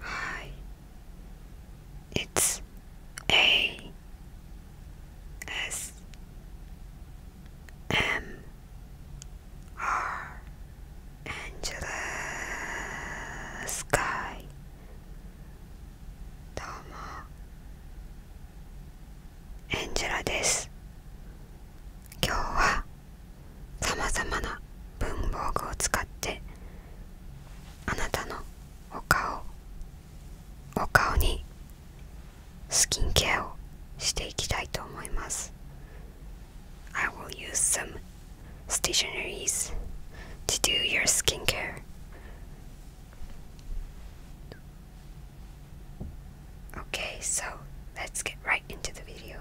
Hi, it's A S M R Angela s k どうもエンジェラです今日はさまざまな文房具を使ってあなたのお顔お顔にスキンケアをしていきたいと思います I will use some stationaries to do your skincare Okay, so let's get right into the video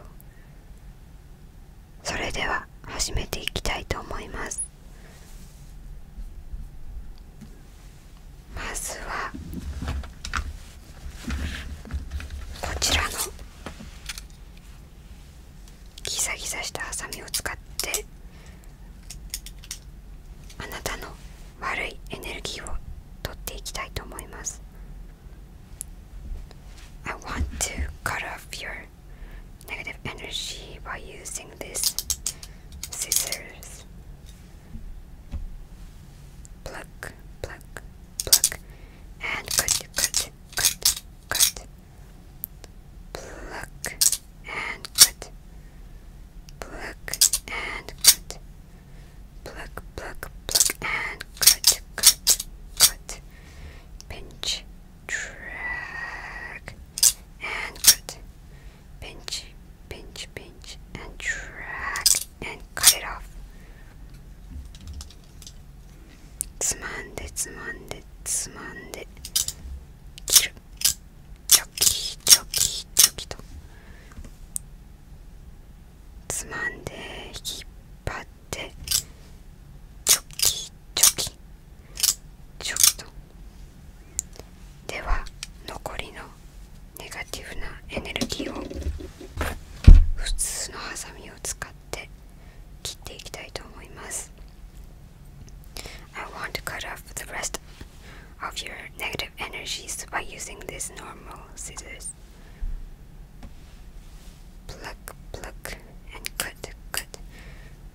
それでは始めていきたいと思いますまずはこちらのギザギザしたハサミを使ってあなたの悪いエネルギーを取っていきたいと思います negative energy by using this scissors. Pluck, pluck, pluck, and cut, cut, cut, cut. Pluck and cut. Pluck and cut. Pluck, pluck, pluck, and cut, cut, cut. Pinch, drag, and root. Pinch, pinch, pinch, and drag and cut it off. Tsumande, tsumande, tsumande. Kiru. Choki, choki, choki to. Tsumande, hippatte. Choki, ちょっとでは残りのネガティブなエネルギーを普通のハサミを使って切っていきたいと思います I want to cut off the rest of your negative energies by using these normal scissors Pluck, pluck, and cut, cut.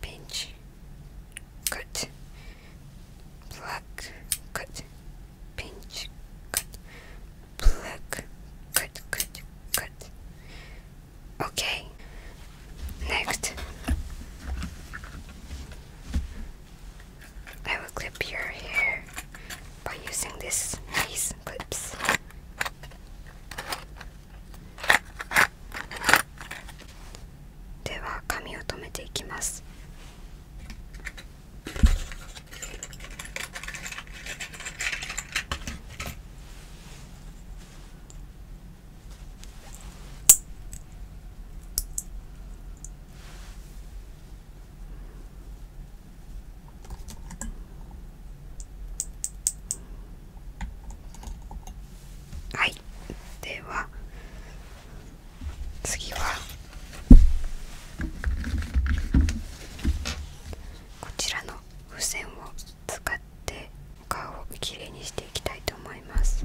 Pinch. Cut. Pluck. Cut. Pinch. Cut. Pluck. Cut. Cut. Cut. Okay. Next. I will clip your hair by using these nice clips. Then I will cut the hair. ではいでは次はこちらの付箋を使ってお顔をきれいにしていきたいと思います。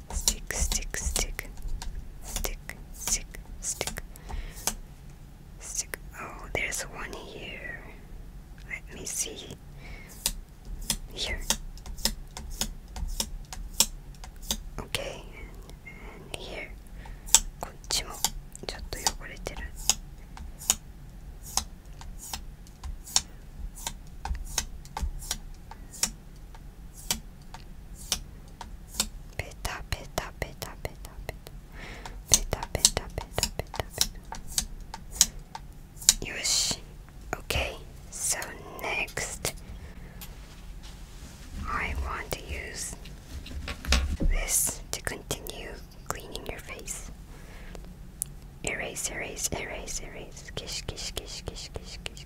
stick, stick, stick, stick, stick, stick, stick. Oh, there's one here. Let me see. Here. Okay, and, and here. こっちもちょっと汚れてる。Peta, peta, peta, peta, peta. Peta, peta, peta, peta, peta. Yosh. Okay, so next I want to use this to continue cleaning your face. Erase, erase, erase, erase. Kish, kish, kish, kish, kish, kish.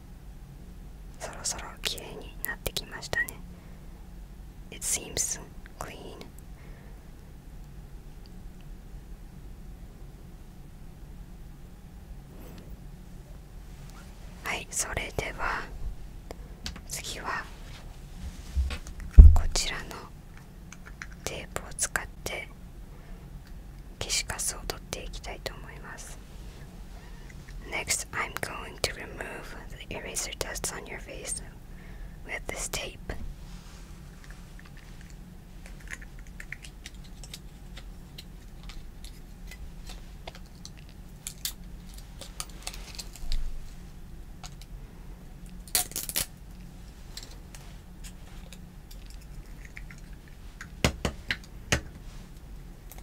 そろそろきれいになってきましたね It seems c l はいそれでは次はこちらのテープを使って消しカスを取っていきたいと思います Next, I'm going to remove the eraser dust on your face with this tape.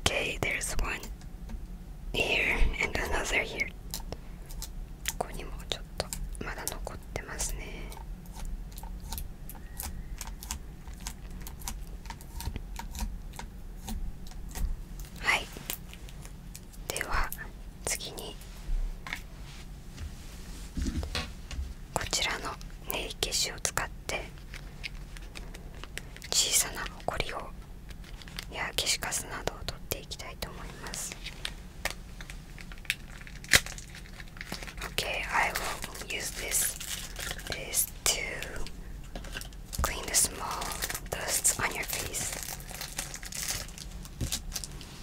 Okay, there's one here and another here. ここにもちょっとまだ残ってますね。はい。では次にこちらの練り消しを使って小さなホコリをや消しカスなどを取っていきたいと思います Okay, I will use this is to clean the small dusts on your face.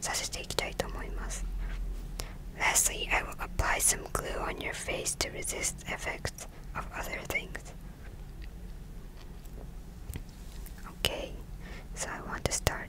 させていきたいと思います Lastly, I will apply some glue on your face to resist effects of other things. Okay, so I want to start.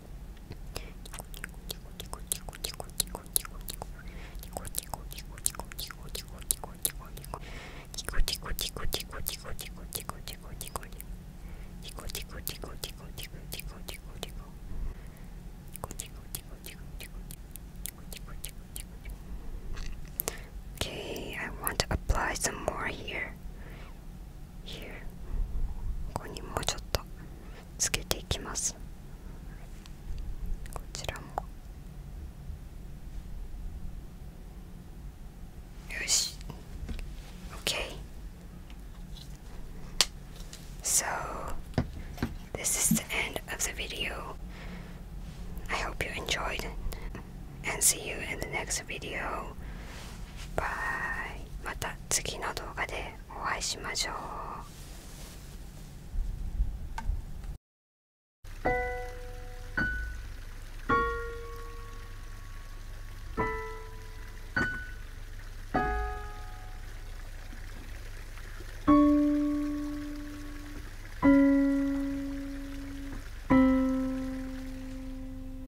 Okay, I want to apply some more here here ここにもうちょっとつけていきますこちらもよし Okay So this is the end of the video I hope you enjoyed and see you in the next video バイまた次の動画でお会いしましょう